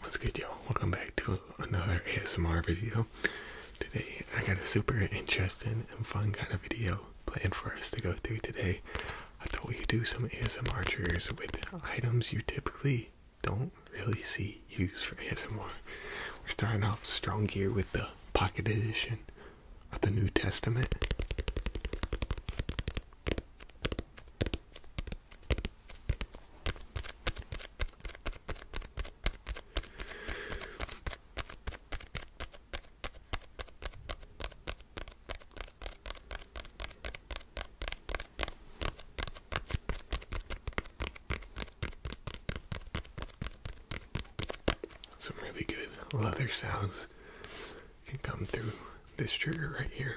What's good, y'all? Welcome back to another ASMR video. Today, I got a super interesting and fun kind of video planned for us to go through today. I thought we could do some ASMR triggers with items you typically don't really see used for ASMR. We're starting off strong here with the Pocket Edition of the New Testament. Some really good leather sounds can come through this trigger right here.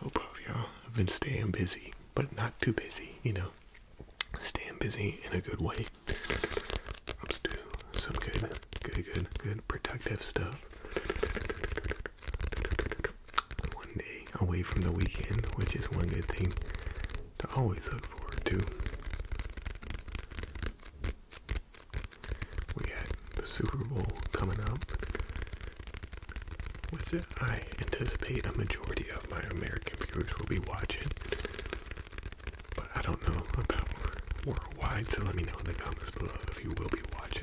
Hope oh, all y'all have been staying busy, but not too busy, you know. Staying busy in a good way. Let's do some good, good, good, good protective stuff. One day away from the weekend, which is one good thing to always look forward to. We had the Super Bowl coming up, which I anticipate a majority of my American viewers will be watching. But I don't know about worldwide, so let me know in the comments below if you will be watching.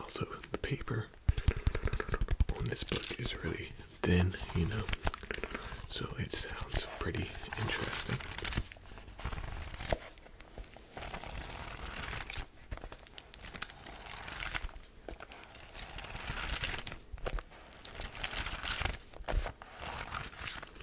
Also, the paper on this book is really thin, you know, so it sounds pretty interesting.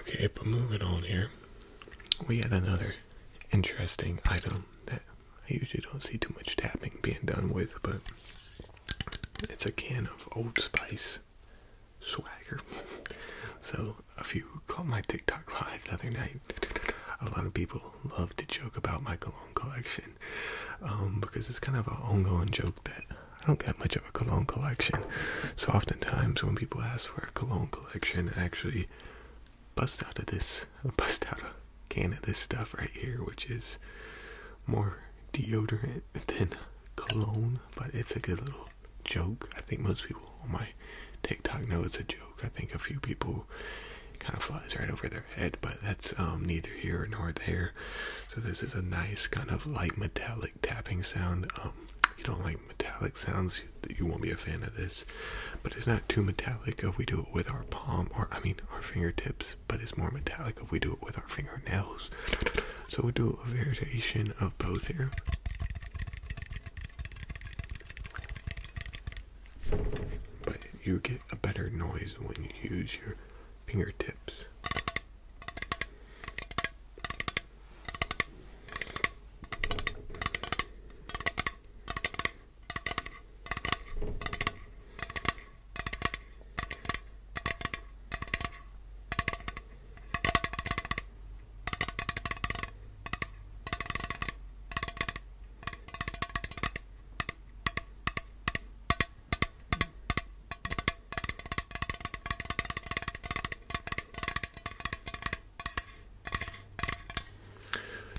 Okay, but moving on here, we had another interesting item that I usually don't see too much tapping being done with, but it's a can of Old Spice swagger. So if you caught my TikTok live the other night, a lot of people love to joke about my cologne collection um, because it's kind of an ongoing joke that I don't get much of a cologne collection. So oftentimes when people ask for a cologne collection, I actually bust out of this, bust out a can of this stuff right here, which is more deodorant than cologne, but it's a good little joke. I think most people on my TikTok know it's a joke. I think a few people kind of flies right over their head, but that's um, neither here nor there. So this is a nice kind of light metallic tapping sound. Um, if you don't like metallic sounds, you won't be a fan of this. But it's not too metallic if we do it with our palm, or I mean our fingertips. But it's more metallic if we do it with our fingernails. So we do a variation of both here. But you get a better noise when you use your fingertips.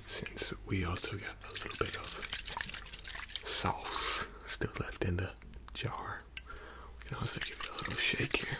Since we also got a little bit of sauce still left in the jar, we can also give it a little shake here.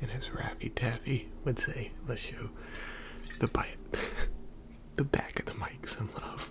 And as Raffy Taffy would say, let's show the bite, the back of the mics and love.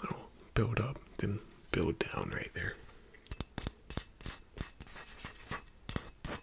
Little build up, then build down right there.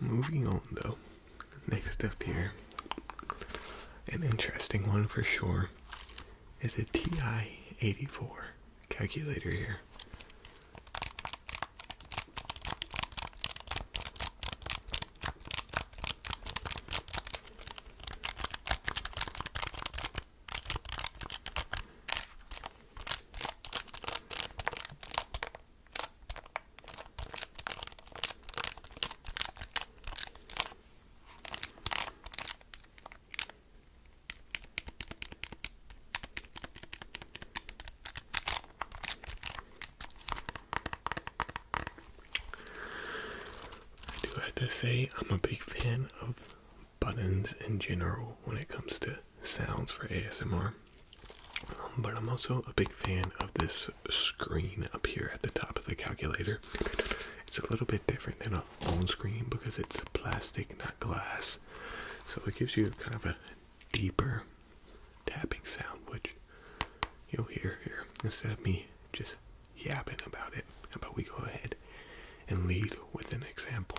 Moving on though, next up here, an interesting one for sure, is a TI-84 calculator here. I do have to say, I'm a big fan of buttons in general when it comes to sounds for ASMR. Um, but I'm also a big fan of this screen up here at the top of the calculator. It's a little bit different than a phone screen because it's plastic, not glass. So it gives you kind of a deeper tapping sound, which you'll hear here instead of me just yapping about it. but we go ahead and lead with an example?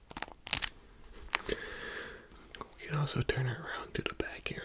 We can also turn it around to the back here.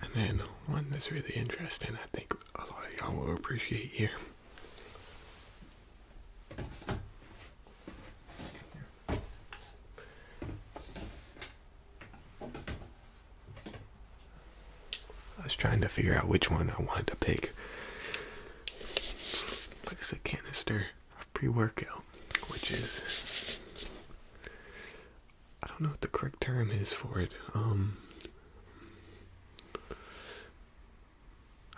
And then one that's really interesting, I think a lot of y'all will appreciate here. I was trying to figure out which one I wanted to pick. But it's a canister of pre-workout, which is I don't know what the correct term is for it. Um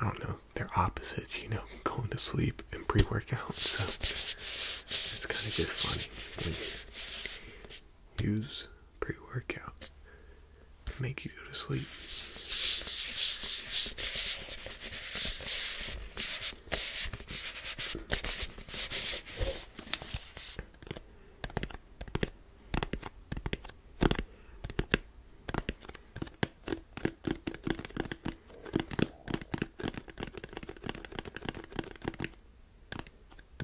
I don't know. They're opposites, you know, going to sleep and pre-workout. So it's kind of just funny use pre workout to make you go to sleep.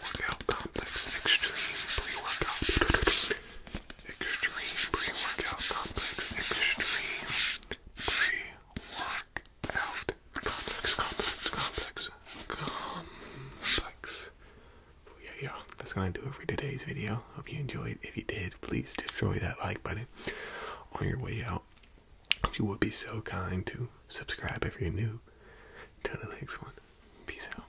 workout complex extreme pre-workout extreme pre-workout complex extreme pre-workout complex complex complex complex so yeah yeah that's gonna do it for today's video hope you enjoyed if you did please destroy that like button on your way out if you would be so kind to subscribe if you're new till the next one peace out